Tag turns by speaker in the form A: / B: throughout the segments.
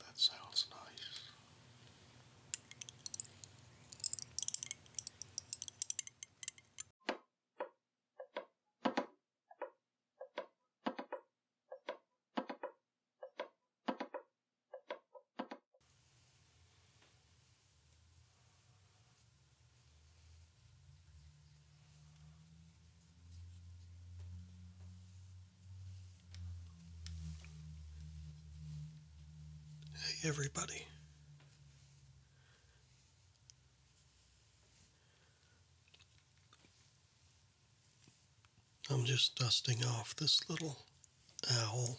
A: That sounds nice. Hey, everybody. I'm just dusting off this little owl.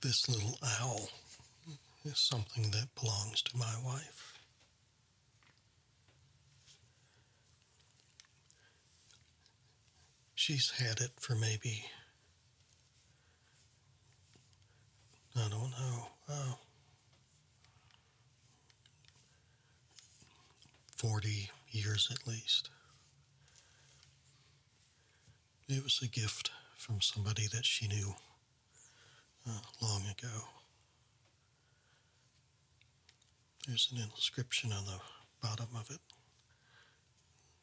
A: This little owl is something that belongs to my wife. She's had it for maybe, I don't know, uh, 40 years at least. It was a gift from somebody that she knew uh, long ago. There's an inscription on the bottom of it.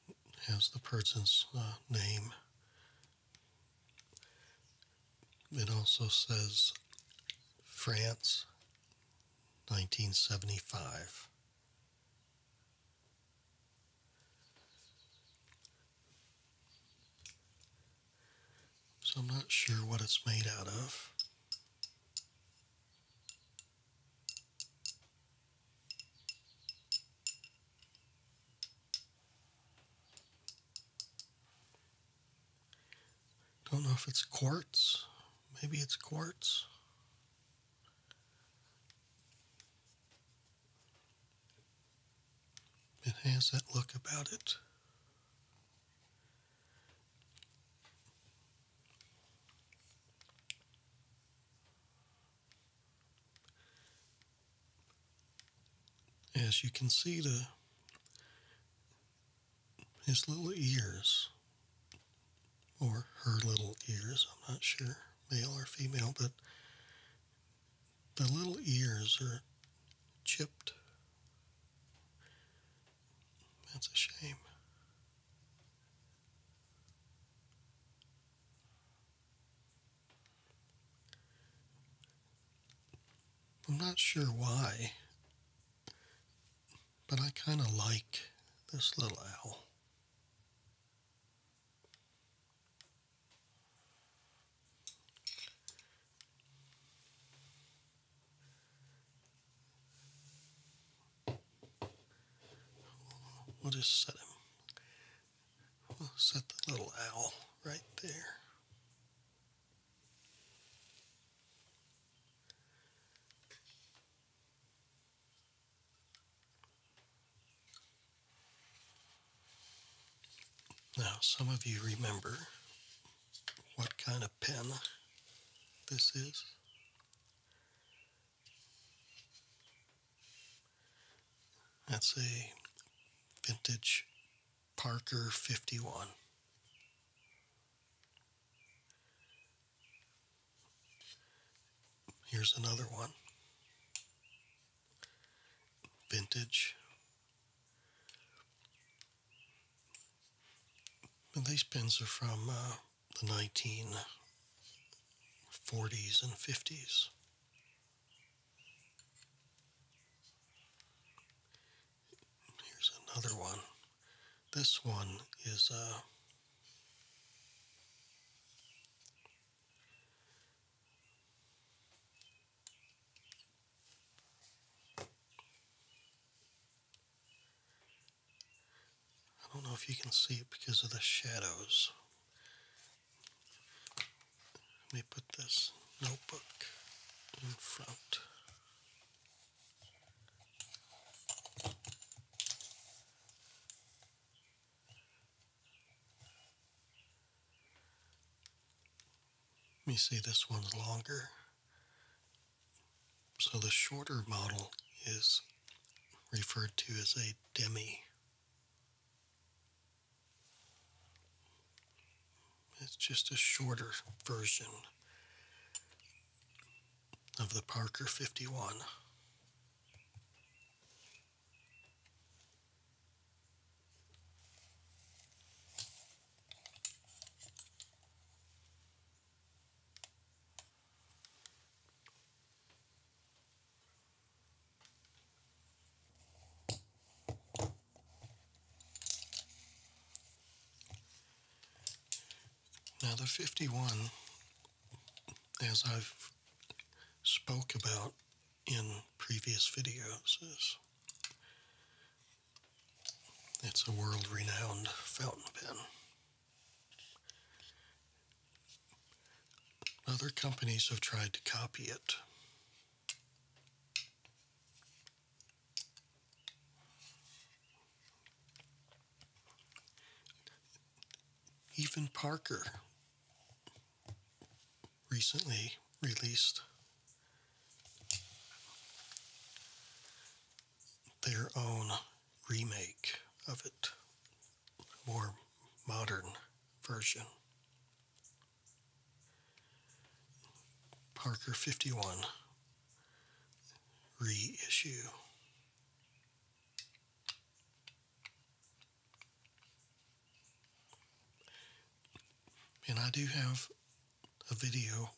A: it has the person's uh, name. It also says France, 1975. So I'm not sure what it's made out of. Don't know if it's quartz. Maybe it's quartz. It has that look about it. As you can see, the his little ears, or her little ears, I'm not sure, male or female, but the little ears are chipped. That's a shame. I'm not sure why, but I kind of like this little owl. We'll just set him. We'll set the little owl right there. Now, some of you remember what kind of pen this is. That's a vintage Parker 51. Here's another one vintage. And these pins are from uh, the 1940s and 50s. Here's another one. This one is a. Uh, I don't know if you can see it because of the shadows. Let me put this notebook in front. Let me see, this one's longer. So the shorter model is referred to as a demi. It's just a shorter version of the Parker 51. Now the 51, as I've spoke about in previous videos is it's a world-renowned fountain pen. Other companies have tried to copy it. Even Parker recently released. Their own remake of it, more modern version. Parker 51 reissue. And I do have a video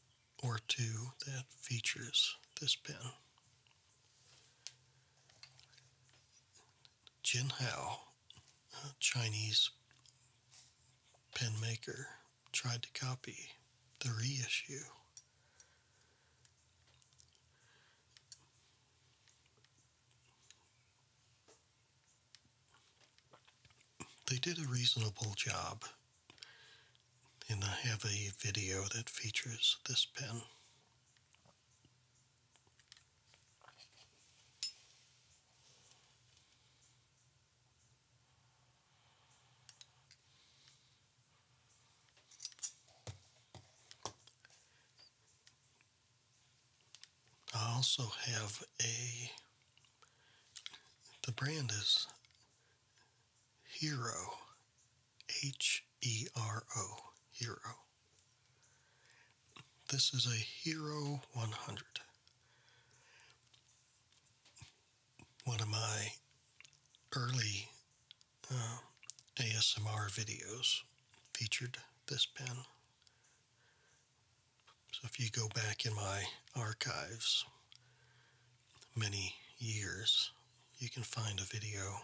A: or two that features this pen. Jin Hao, Chinese pen maker, tried to copy the reissue. They did a reasonable job, and I have a video that features this pen. I also have a, the brand is Hero, H E R O, Hero. This is a Hero 100. One of my early uh, ASMR videos featured this pen. So if you go back in my archives many years, you can find a video.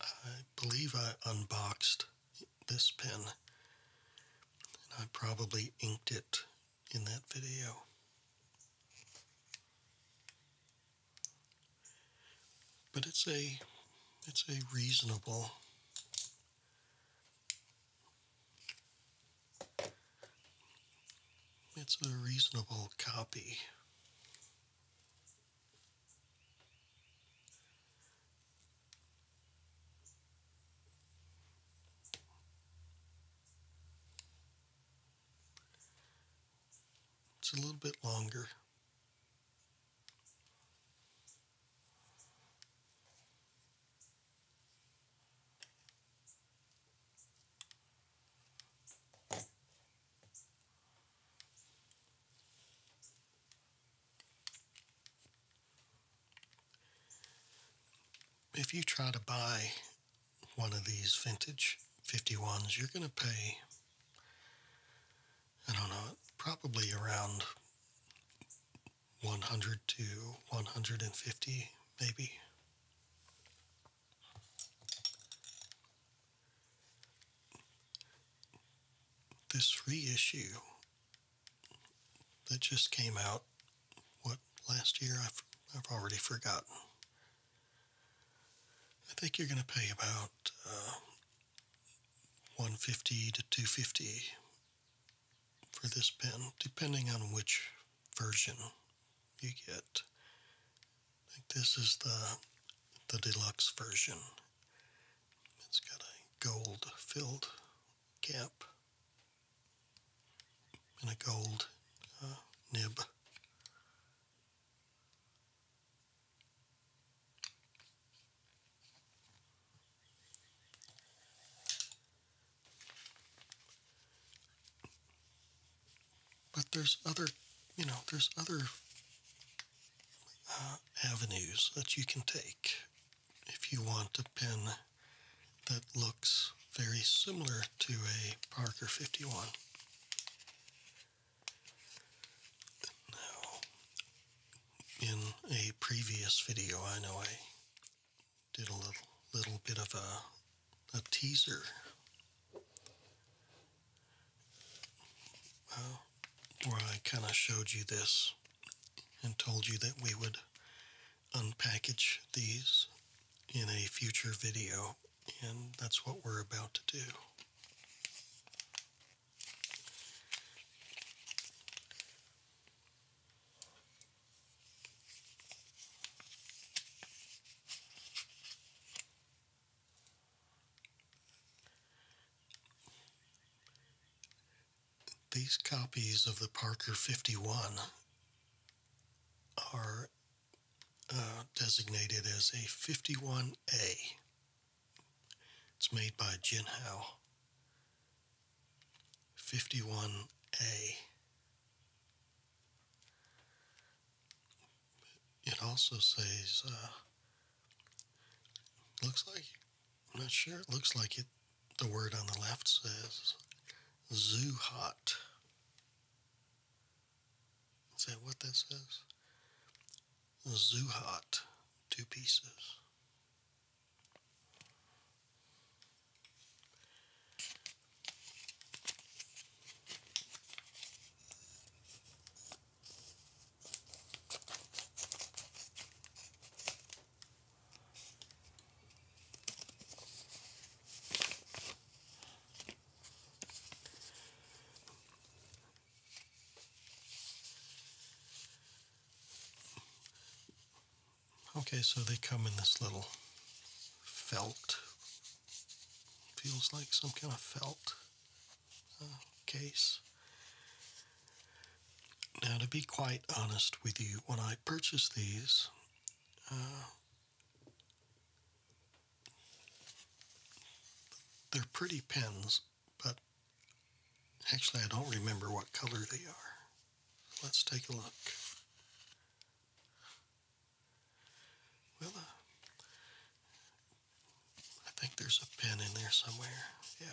A: I believe I unboxed this pen, and I probably inked it in that video. But it's a it's a reasonable it's a reasonable copy. It's a little bit longer. If you try to buy one of these vintage 51s, you're going to pay I don't know, probably around 100 to 150, maybe. This reissue that just came out, what, last year? I've, I've already forgotten. I think you're going to pay about uh, 150 to 250 for this pen, depending on which version you get. this is the the deluxe version. It's got a gold filled cap and a gold uh, nib. But there's other, you know, there's other uh, avenues that you can take if you want a pen that looks very similar to a Parker 51. Now, in a previous video, I know I did a little, little bit of a, a teaser. where I kind of showed you this and told you that we would unpackage these in a future video, and that's what we're about to do. These copies of the Parker 51 are uh, designated as a 51A. It's made by Jinhao. 51A. It also says, uh, looks like, I'm not sure, it looks like it, the word on the left says zoo hot. Is that what that says? Zuhat, two pieces. Okay, so they come in this little felt, feels like some kind of felt uh, case. Now, to be quite honest with you, when I purchased these, uh, they're pretty pens, but actually I don't remember what color they are. Let's take a look. Well, uh, I think there's a pin in there somewhere. Yeah.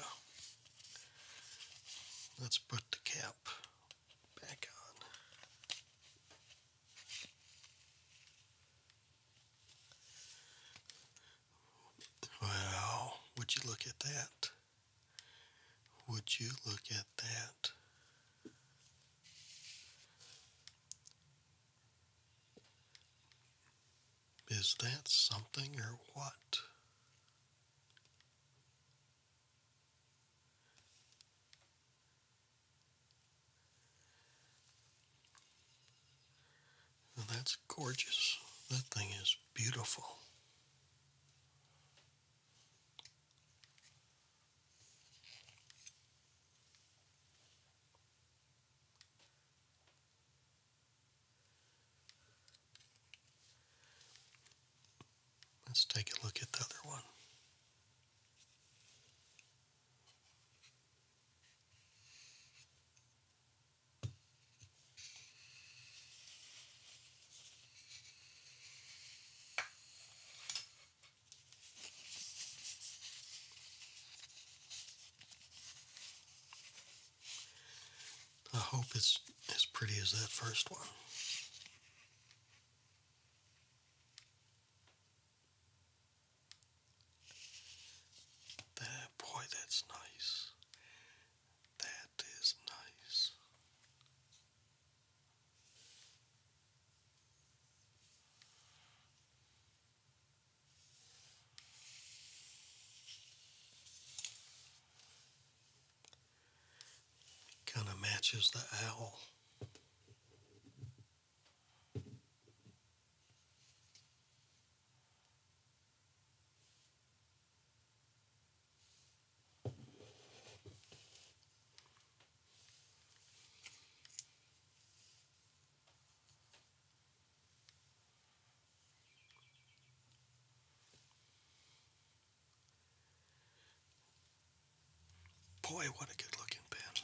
A: Let's put the cap back on. Well, would you look at that? Would you look at that? Is that something or what? that's gorgeous. That thing is beautiful. Let's take a look at the other one. I hope it's as pretty as that first one boy, that's nice. That is nice. Kind of matches the owl. Boy, what a good looking pen.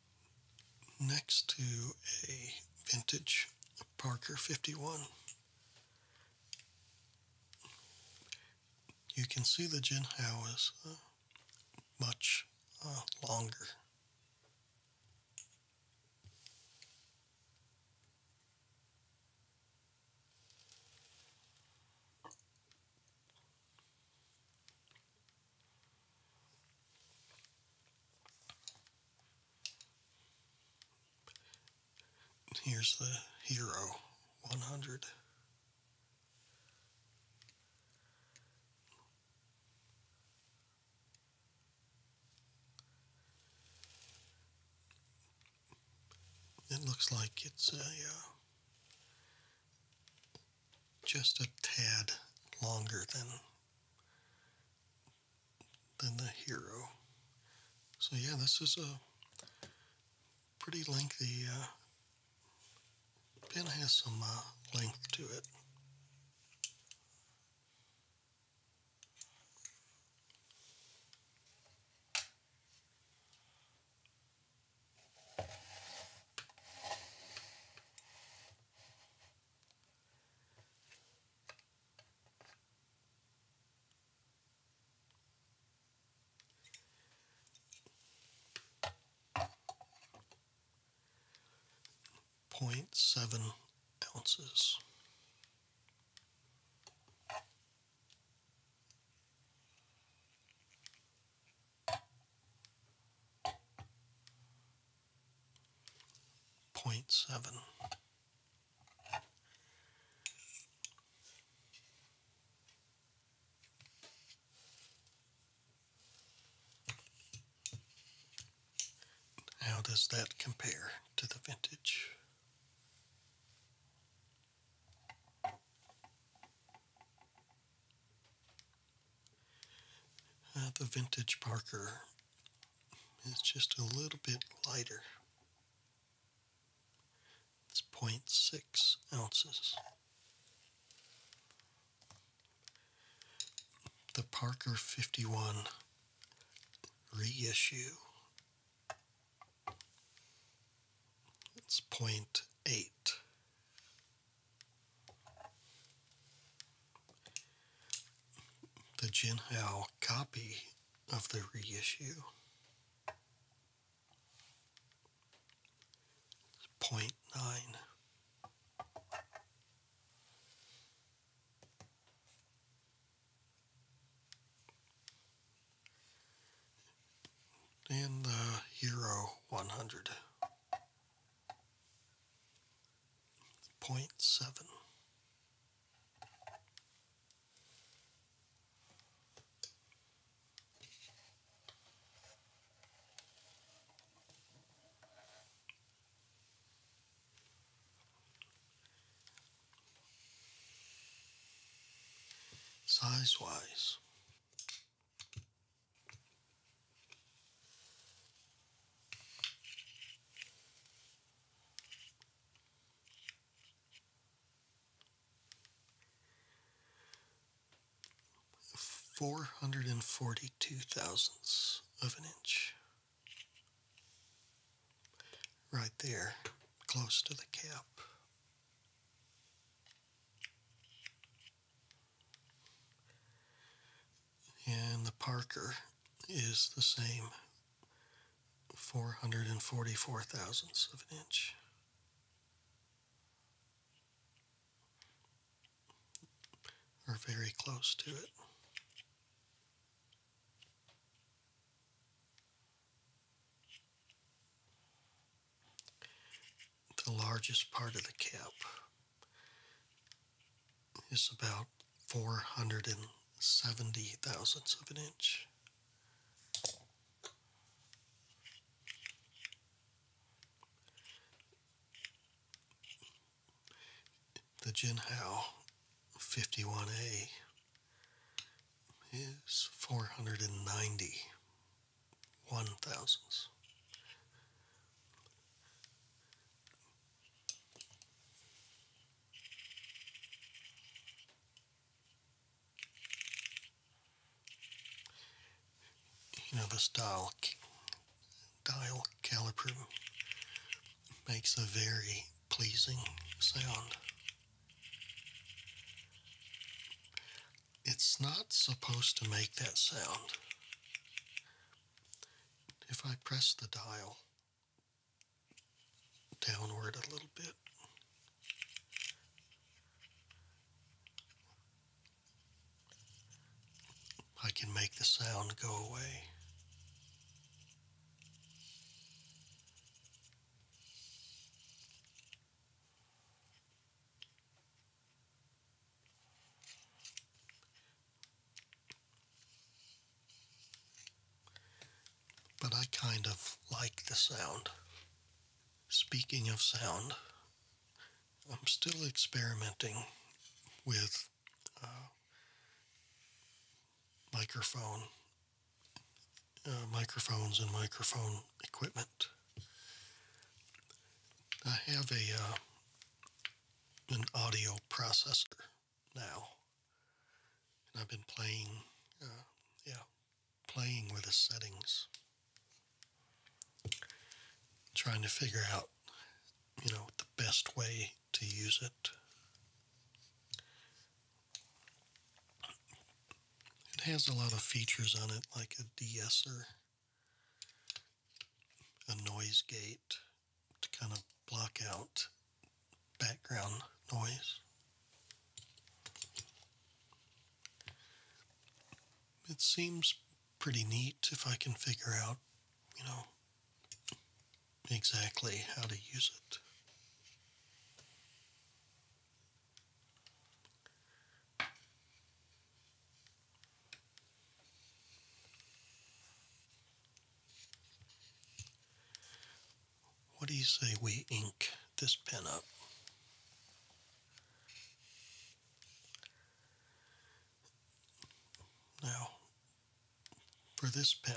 A: next to a vintage Parker 51. You can see the gin is uh, much uh, longer. Here's the Hero 100. It looks like it's a uh, just a tad longer than than the hero. So yeah, this is a pretty lengthy uh, pen. has some uh, length to it. Point seven ounces. Point seven. How does that compare to the vintage? Uh, the vintage Parker is just a little bit lighter. It's 0.6 ounces. The Parker 51 reissue. It's 0.8 the Jinhao copy of the reissue. It's point 0.9. the Hero 100 point seven. Size wise, Four hundred and forty two thousandths of an inch. Right there, close to the cap. And the Parker is the same 444 thousandths of an inch. Or very close to it the largest part of the cap is about 470 thousandths of an inch. The Jinhao 51A is 490 thousandths. You know, the dial, dial caliper makes a very pleasing sound. It's not supposed to make that sound if I press the dial downward a little bit, I can make the sound go away. But I kind of like the sound. Speaking of sound, I'm still experimenting with uh, microphone uh, microphones and microphone equipment. I have a uh, an audio processor now. And I've been playing, uh, yeah, playing with the settings, trying to figure out, you know, the best way to use it. It has a lot of features on it, like a de a noise gate to kind of block out background noise. It seems pretty neat if I can figure out, you know, exactly how to use it. What do you say we ink this pen up? Now, for this pen,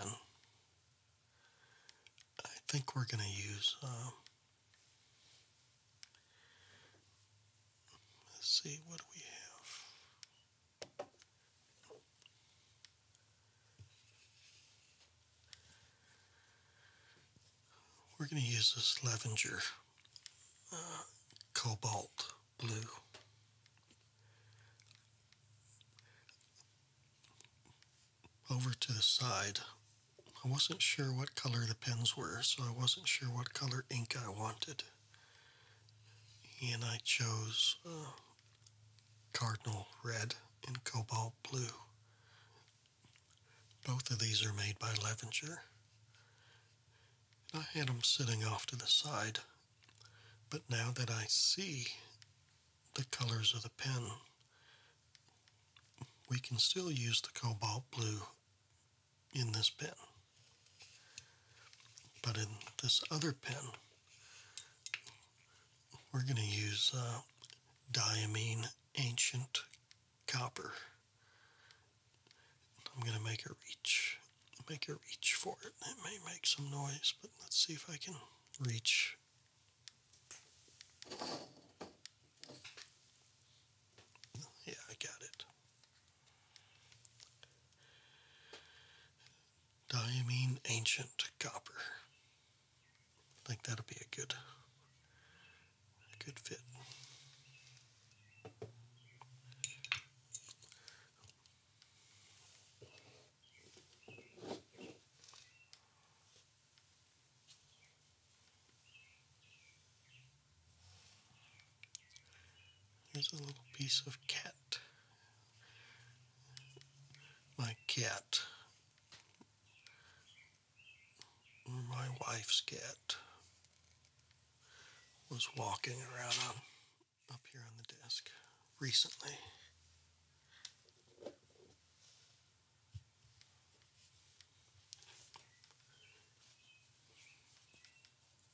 A: I think we're going to use uh, Let's see what do we have. We're going to use this lavender uh, cobalt blue. Over to the side, I wasn't sure what color the pens were, so I wasn't sure what color ink I wanted. He and I chose cardinal red and cobalt blue. Both of these are made by Levinger. I had them sitting off to the side, but now that I see the colors of the pen, we can still use the cobalt blue in this pen. But in this other pen, we're going to use uh, diamine ancient copper. I'm going to make a reach, make a reach for it. It may make some noise, but let's see if I can reach. Yeah, I got it mean Ancient Copper. I think that'll be a good, a good fit. Here's a little piece of cat. My cat. My wife's cat was walking around on, up here on the desk recently.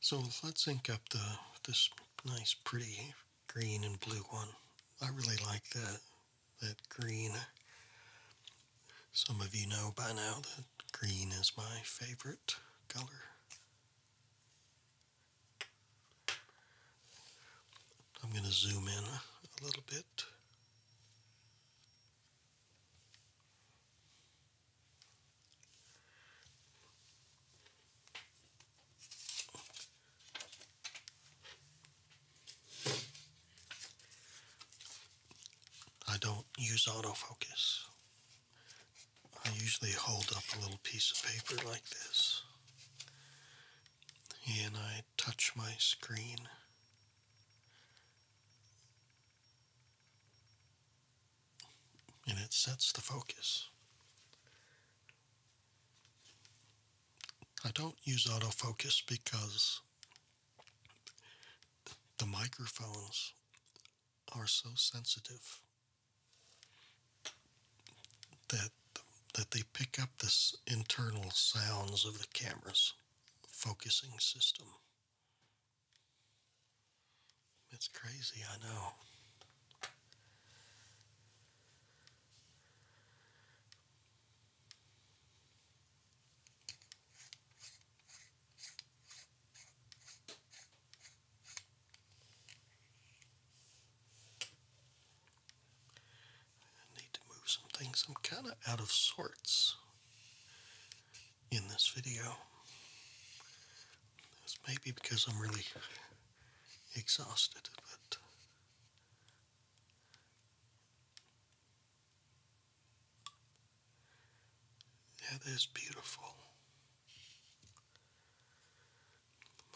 A: So let's ink up the this nice pretty green and blue one. I really like that that green. Some of you know by now that green is my favorite color. I'm going to zoom in a little bit. I don't use autofocus. I usually hold up a little piece of paper like this and I touch my screen and it sets the focus. I don't use autofocus because the microphones are so sensitive that that they pick up this internal sounds of the camera's focusing system. It's crazy, I know. need to move some things. I'm kind of out of sorts in this video. This maybe because I'm really exhausted, but that is beautiful.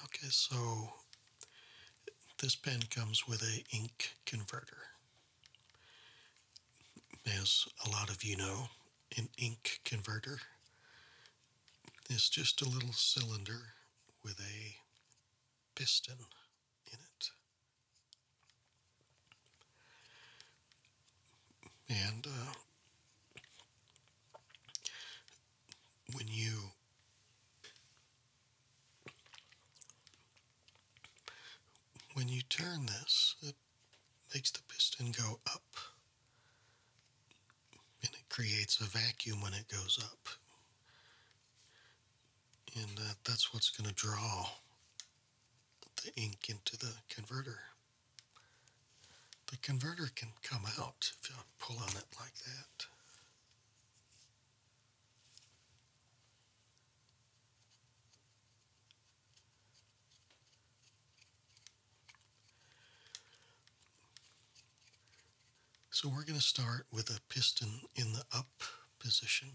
A: Okay, so this pen comes with a ink converter. As a lot of you know, an ink converter. It's just a little cylinder with a piston in it. And uh, when you when you turn this, makes the piston go up. And it creates a vacuum when it goes up. And that's what's going to draw the ink into the converter. The converter can come out if you pull on it like that. So we're going to start with a piston in the up position.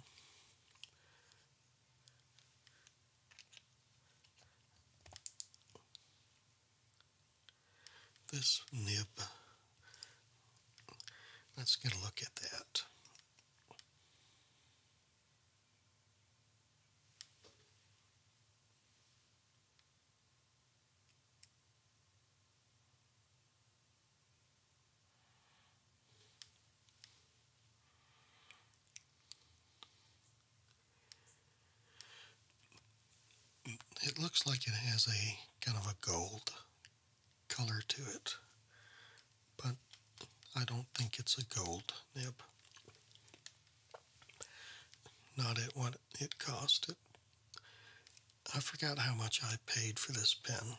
A: This nib, let's get a look at that. It looks like it has a kind of a gold color to it, but I don't think it's a gold nib. Not at what it cost. It, I forgot how much I paid for this pen.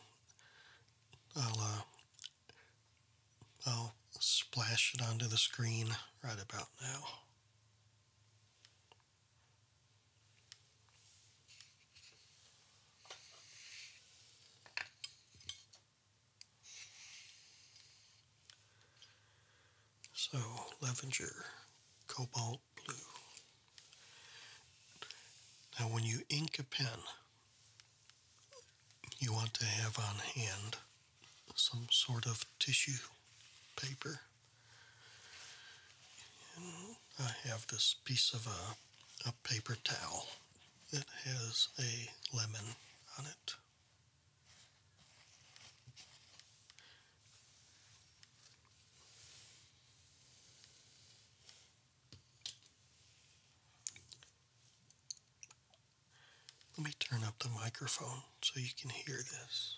A: I'll uh, I'll splash it onto the screen right about now. So, Lavender Cobalt Blue. Now, when you ink a pen, you want to have on hand some sort of tissue paper. I have this piece of a, a paper towel that has a lemon on it. Let me turn up the microphone so you can hear this.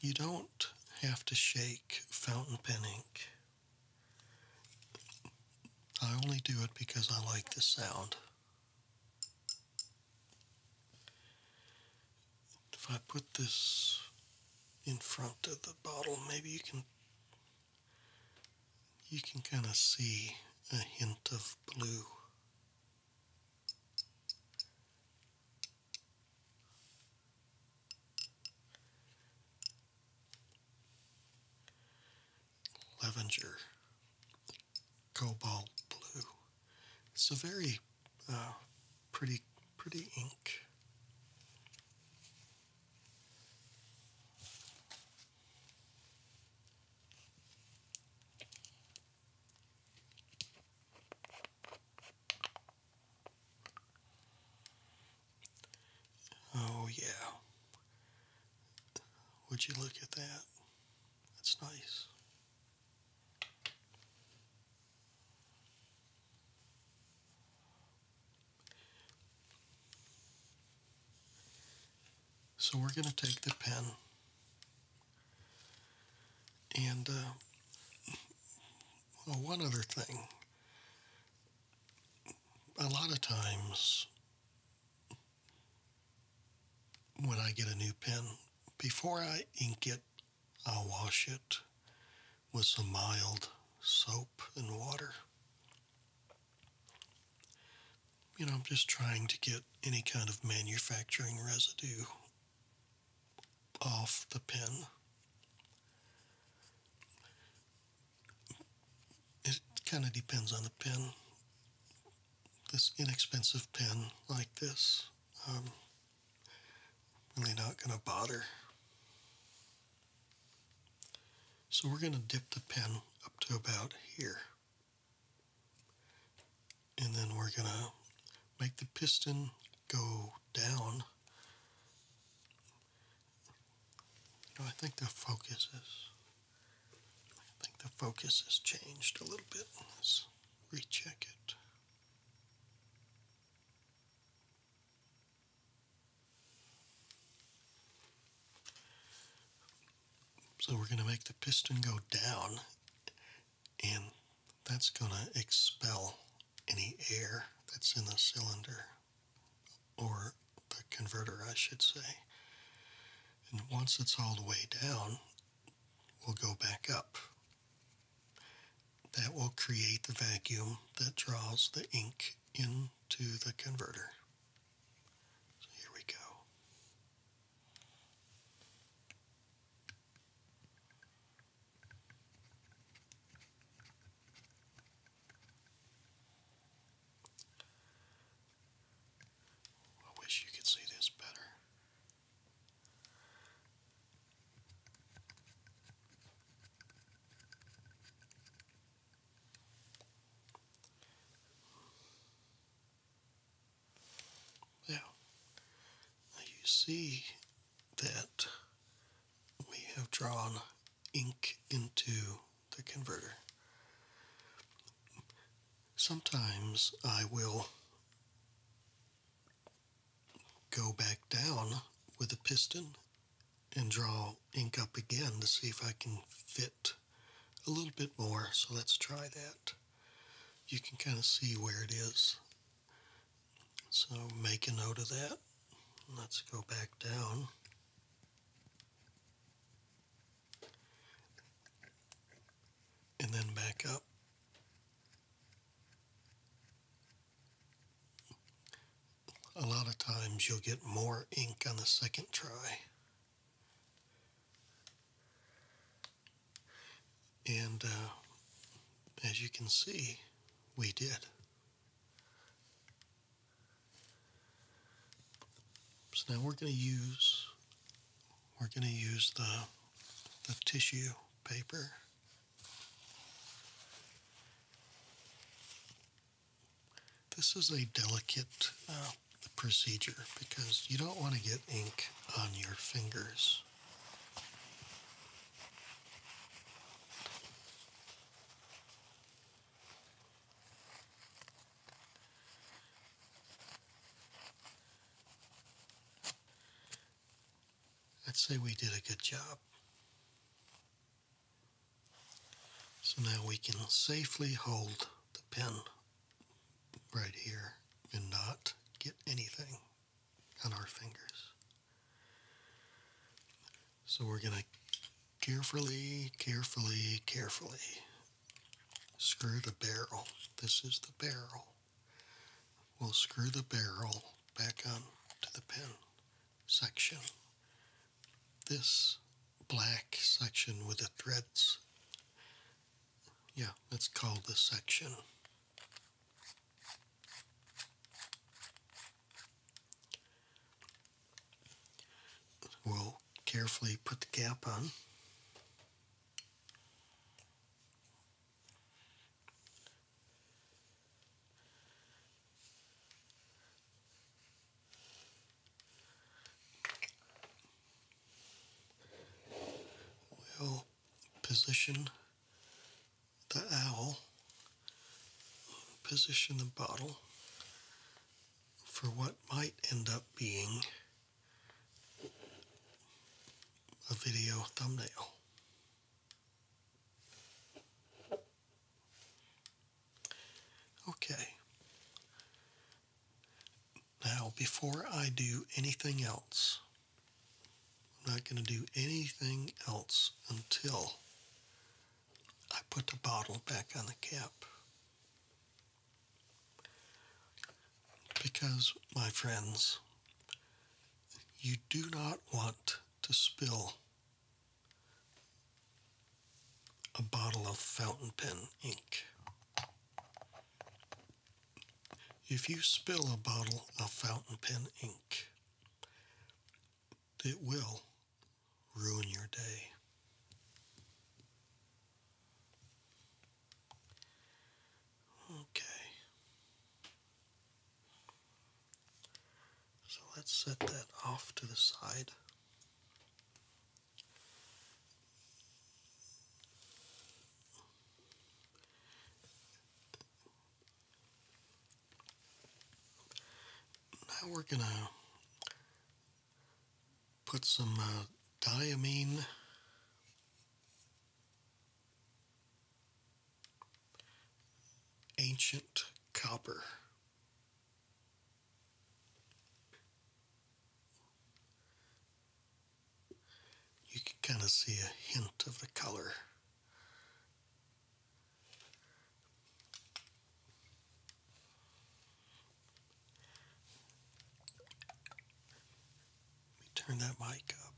A: You don't have to shake fountain pen ink. I only do it because I like the sound. If I put this in front of the bottle, maybe you can you can kind of see a hint of blue. Levenger cobalt blue. So very uh, pretty, pretty ink. Oh, yeah. Would you look at that? That's nice. So we're going to take the pen and uh, one other thing a lot of times when I get a new pen, before I ink it, I'll wash it with some mild soap and water. You know, I'm just trying to get any kind of manufacturing residue off the pin. It kind of depends on the pen. This inexpensive pen, like this, I'm um, really not going to bother. So we're going to dip the pen up to about here. And then we're going to make the piston go down I think the focus is. I think the focus has changed a little bit. Let's recheck it. So we're going to make the piston go down, and that's going to expel any air that's in the cylinder or the converter, I should say. And once it's all the way down, we'll go back up. That will create the vacuum that draws the ink into the converter. So here we go. I wish you could see this better. Now, you see that we have drawn ink into the converter. Sometimes I will go back down with a piston and draw ink up again to see if I can fit a little bit more. So let's try that. You can kind of see where it is so make a note of that. Let's go back down. And then back up. A lot of times you'll get more ink on the second try. And uh, as you can see, we did. So now we're going to use we're going to use the the tissue paper. This is a delicate uh, procedure because you don't want to get ink on your fingers. I'd say we did a good job. So now we can safely hold the pen right here and not get anything on our fingers. So we're going to carefully, carefully, carefully screw the barrel. This is the barrel. We'll screw the barrel back on to the pin section. This black section with the threads. Yeah, let's call this section. We'll carefully put the cap on. We'll position the owl, position the bottle for what might end up being a video thumbnail. Okay. Now, before I do anything else, I'm not going to do anything else until I put the bottle back on the cap. Because, my friends, you do not want to spill a bottle of fountain pen ink. If you spill a bottle of fountain pen ink, it will ruin your day. Okay. So let's set that off to the side. Now we're going to put some uh, diamine ancient copper. You can kind of see a hint of the color. Let me turn that mic up.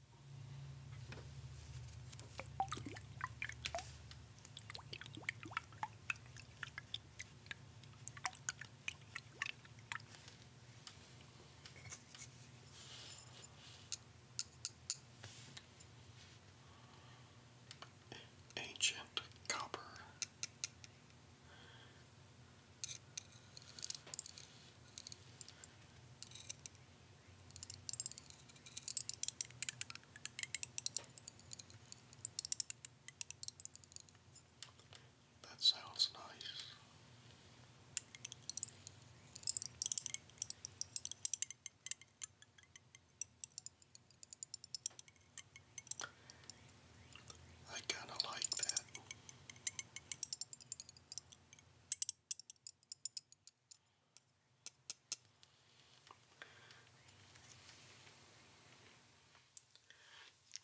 A: Ancient copper. That sounds nice. I kind of like that.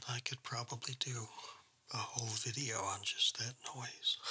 A: I could probably do a whole video on just that noise.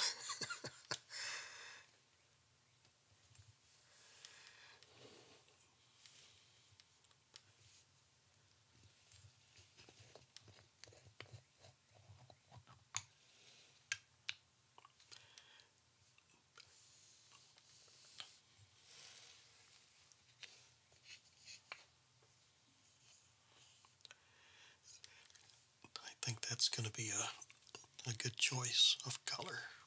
A: I think that's going to be a, a good choice of color.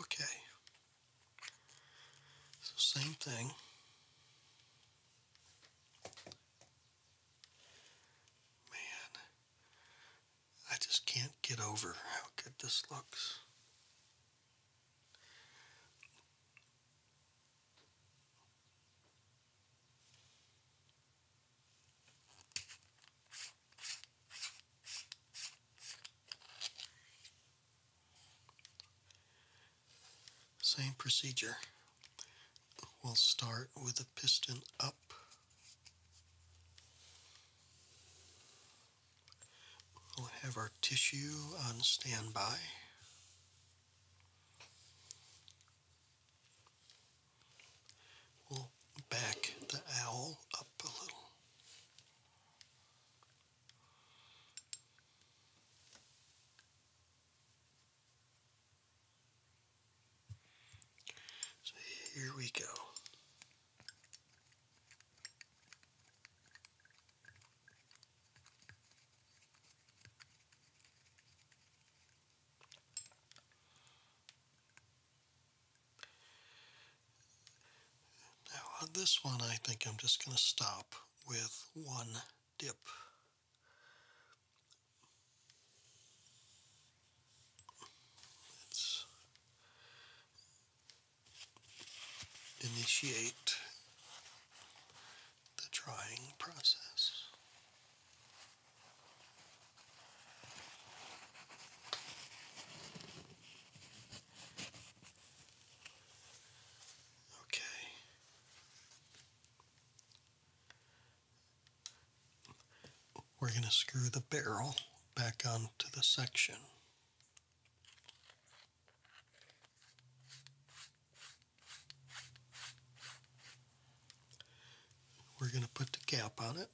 A: Okay. So same thing. Man, I just can't get over how good this looks. Same procedure. We'll start with the piston up. We'll have our tissue on standby. We'll back the owl up up a little. So here we go. Now on this one, I think I'm just going to stop with one dip. Let's initiate the drying process. Okay. We're going to screw the barrel back onto the section. We're going to put the cap on it.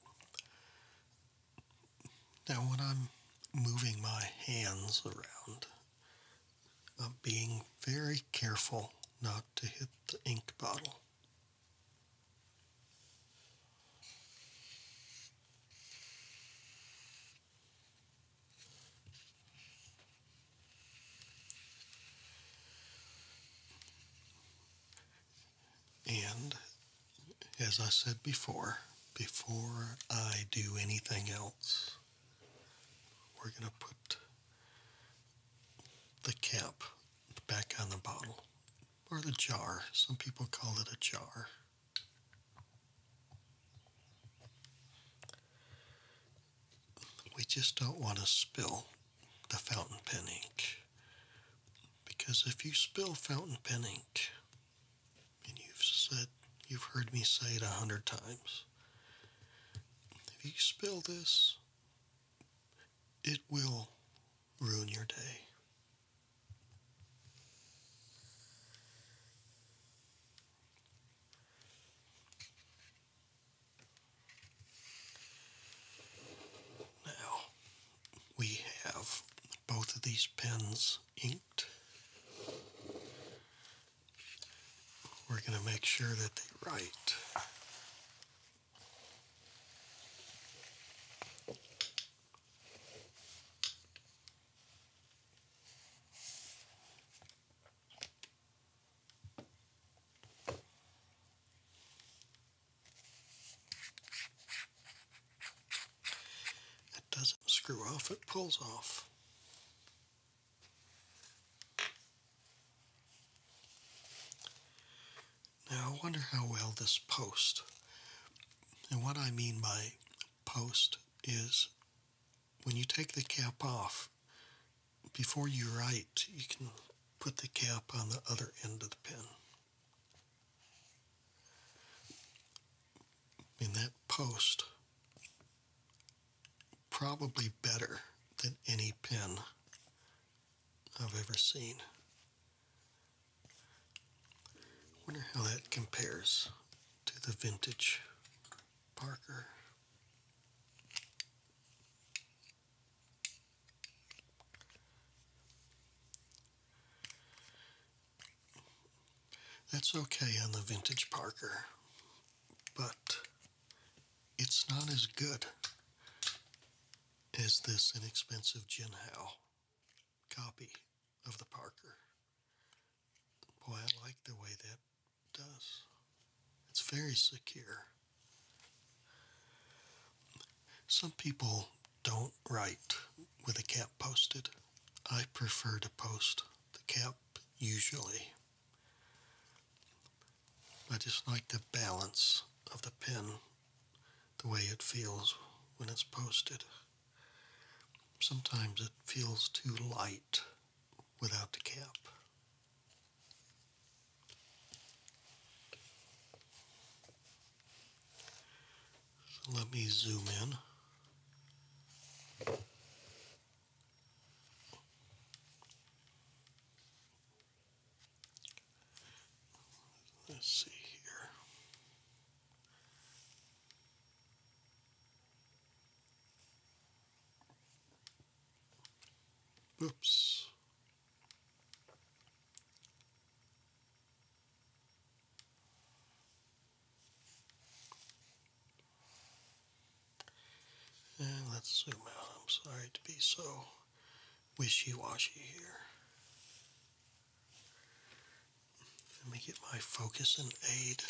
A: Now, when I'm moving my hands around, I'm being very careful not to hit the ink bottle. And as I said before, before I do anything else, we're going to put the cap back on the bottle or the jar. Some people call it a jar. We just don't want to spill the fountain pen ink. Because if you spill fountain pen ink, and you've said, you've heard me say it a hundred times, if you spill this, it will ruin your day. Now, we have both of these pens inked. We're going to make sure that they write. It doesn't screw off, it pulls off. Now I wonder how well this post, and what I mean by post is when you take the cap off, before you write, you can put the cap on the other end of the pen. In that post probably better than any pen I've ever seen. Wonder how that compares to the vintage Parker. That's okay on the vintage Parker, but it's not as good as this inexpensive Jin copy of the Parker. Boy, I like the way that does. It's very secure. Some people don't write with a cap posted. I prefer to post the cap usually. I just like the balance of the pen, the way it feels when it's posted. Sometimes it feels too light without the cap. So let me zoom in. Let's see here. Oops. And let's zoom out. I'm sorry to be so wishy washy here. Let me get my focus and aid.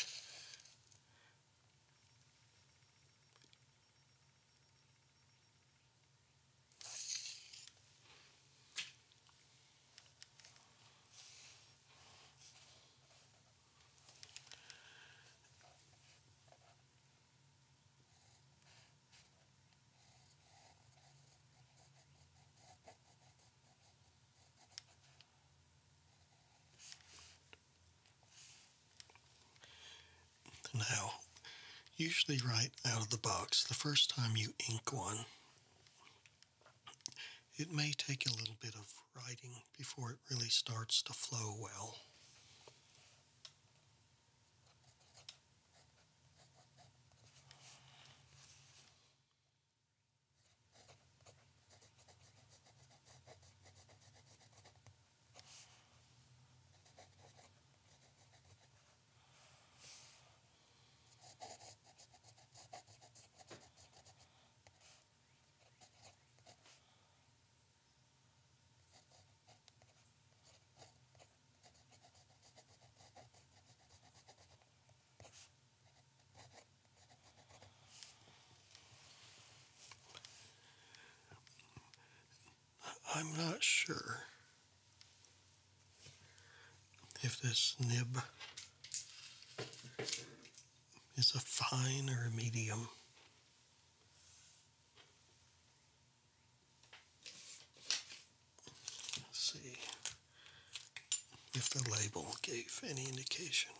A: Now, usually right out of the box, the first time you ink one, it may take a little bit of writing before it really starts to flow well. I'm not sure if this nib is a fine or a medium. Let's see if the label gave any indication.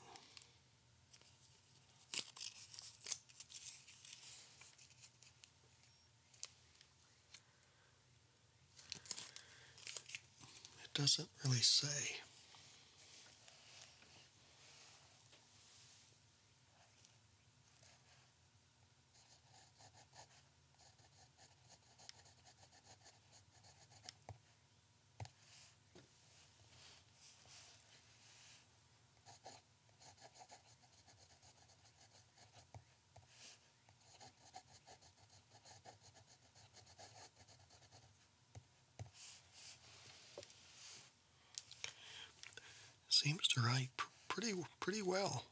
A: It doesn't really say. Seems to write pretty pretty well.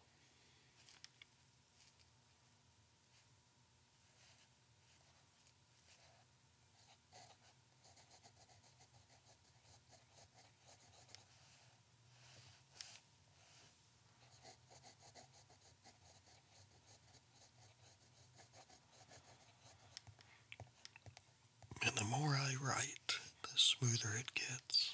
A: And the more I write, the smoother it gets.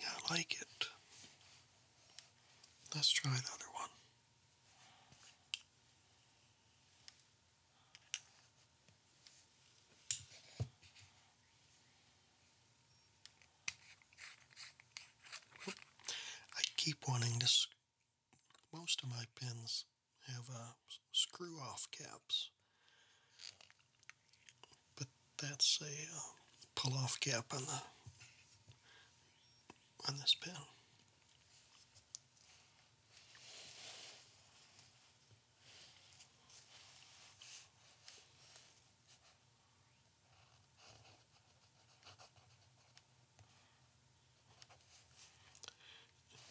A: Yeah, I like it. Let's try the one. I keep wanting to most of my pins have uh, screw off caps. But that's a uh, pull off cap on the on this pen.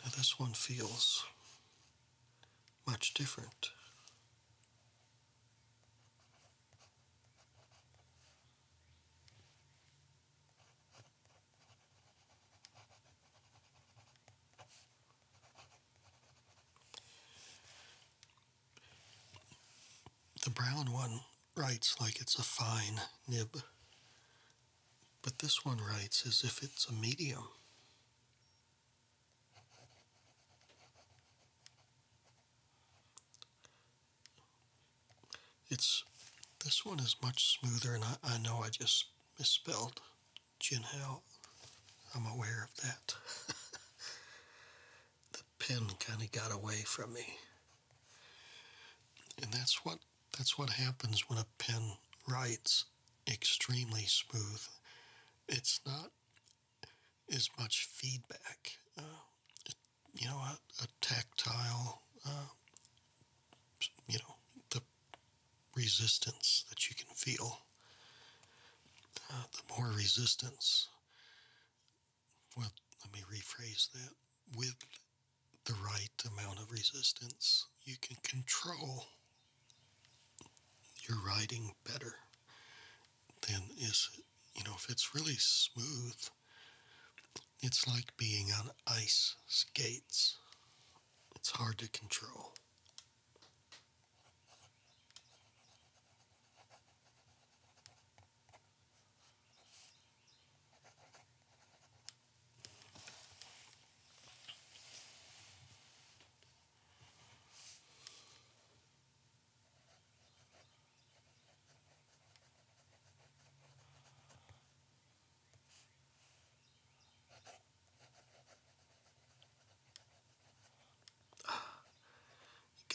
A: Now, this one feels much different. The brown one writes like it's a fine nib, but this one writes as if it's a medium. It's this one is much smoother, and I, I know I just misspelled Jinhao. I'm aware of that. the pen kind of got away from me. And that's what that's what happens when a pen writes extremely smooth. It's not as much feedback. Uh, you know, a, a tactile, uh, you know, the resistance that you can feel. Uh, the more resistance, well, let me rephrase that. With the right amount of resistance, you can control your riding better than is, you know, if it's really smooth, it's like being on ice skates. It's hard to control.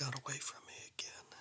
A: You got away from me again.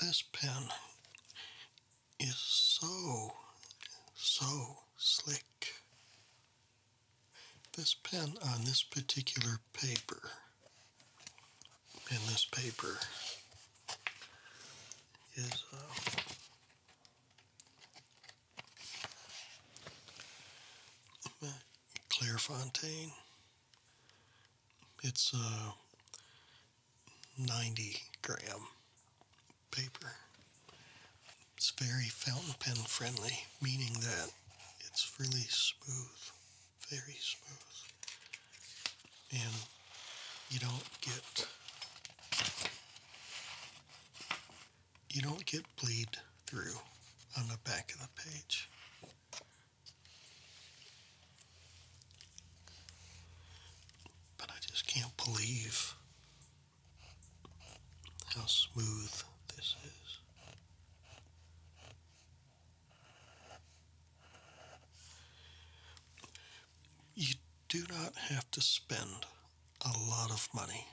A: This pen is so, so slick this pen on this particular paper, in this paper is. Uh, Clairefontaine. It's uh, 90 gram paper. It's very fountain pen friendly, meaning that it's really smooth, very smooth. And you don't get you don't get bleed through on the back of the page. But I just can't believe how smooth this is. You do not have to spend a lot of money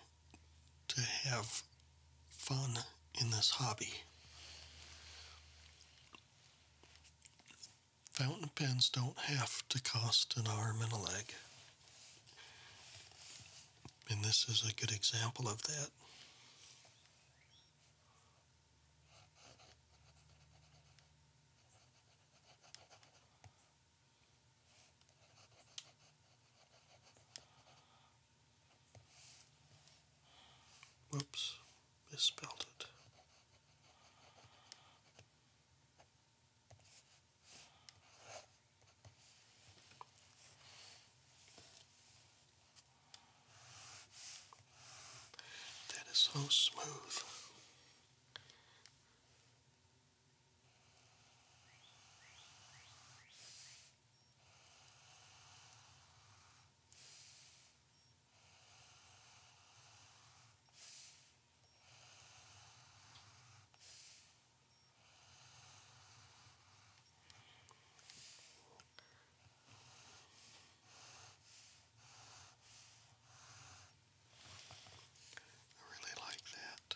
A: to have fun in this hobby. Fountain pens don't have to cost an arm and a leg. And this is a good example of that. Whoops, misspelled it. That is so smooth. I really like that.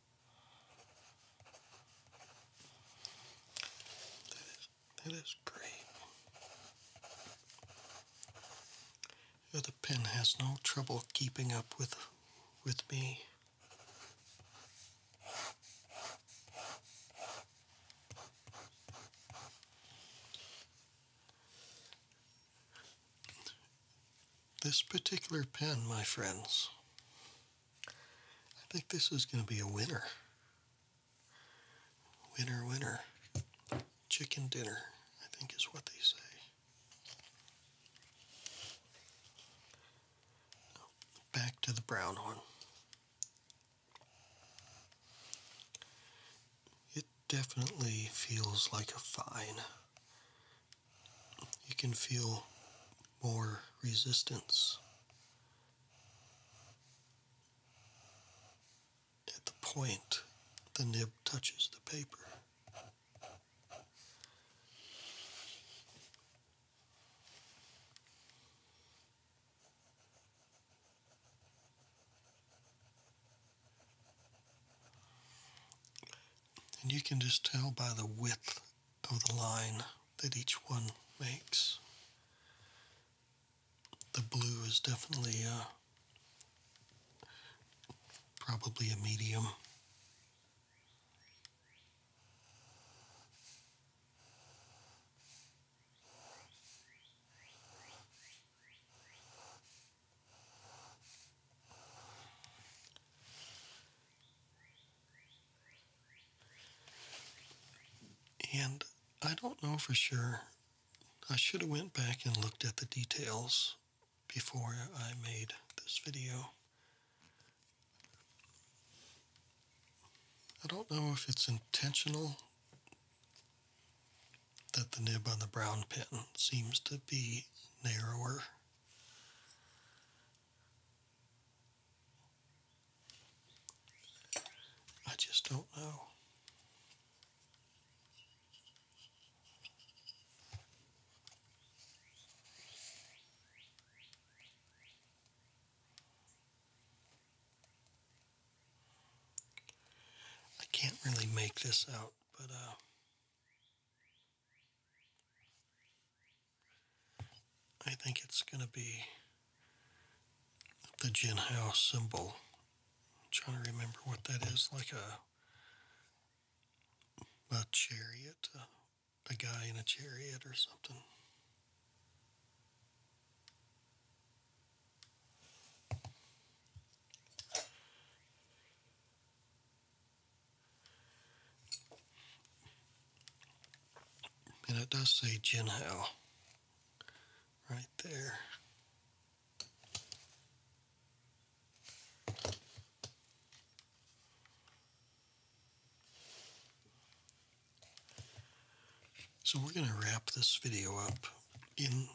A: That is that is great. Your pen has no trouble keeping up with with me. This particular pen, my friends, I think this is going to be a winner. Winner, winner. Chicken dinner, I think is what they say. Back to the brown one. It definitely feels like a fine. You can feel more resistance at the point the nib touches the paper. And you can just tell by the width of the line that each one makes. The blue is definitely uh, probably a medium. And I don't know for sure. I should have went back and looked at the details before I made this video. I don't know if it's intentional that the nib on the brown pen seems to be narrower. I just don't know. I can't really make this out, but uh, I think it's going to be the Jin Hao symbol. trying to remember what that is, like a a chariot, a guy in a chariot or something. And it does say Jinhao right there. So we're going to wrap this video up in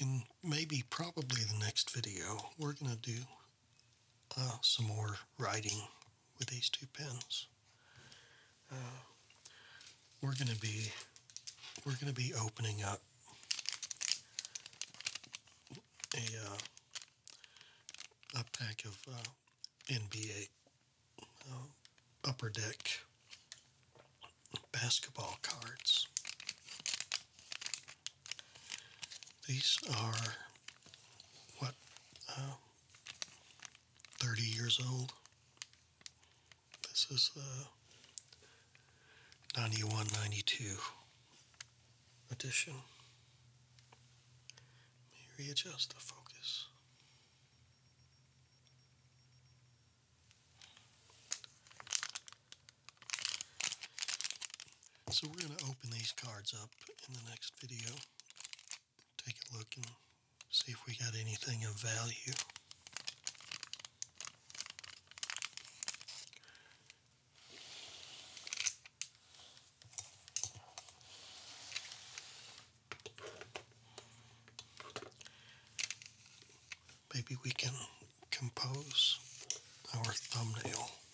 A: in maybe probably the next video. We're going to do uh, some more writing with these two pens. Uh, we're going to be we're going to be opening up a uh, a pack of NBA upper deck basketball cards. These are what um, thirty years old. This is the uh, ninety one ninety two edition. Let readjust the focus. So we're going to open these cards up in the next video. Take a look and see if we got anything of value. Maybe we can compose our thumbnail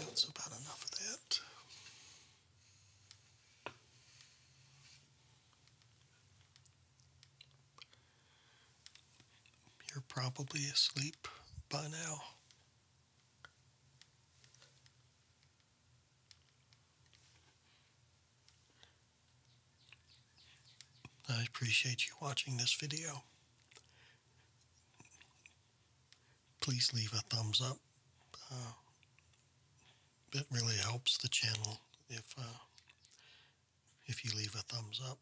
A: that's about enough of that. You're probably asleep by now. I appreciate you watching this video please leave a thumbs up. Uh, it really helps the channel if uh, if you leave a thumbs up.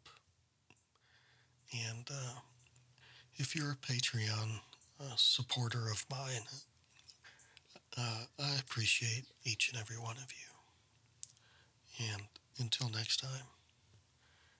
A: And uh, if you're a Patreon uh, supporter of mine, I appreciate each and every one of you. And until next time,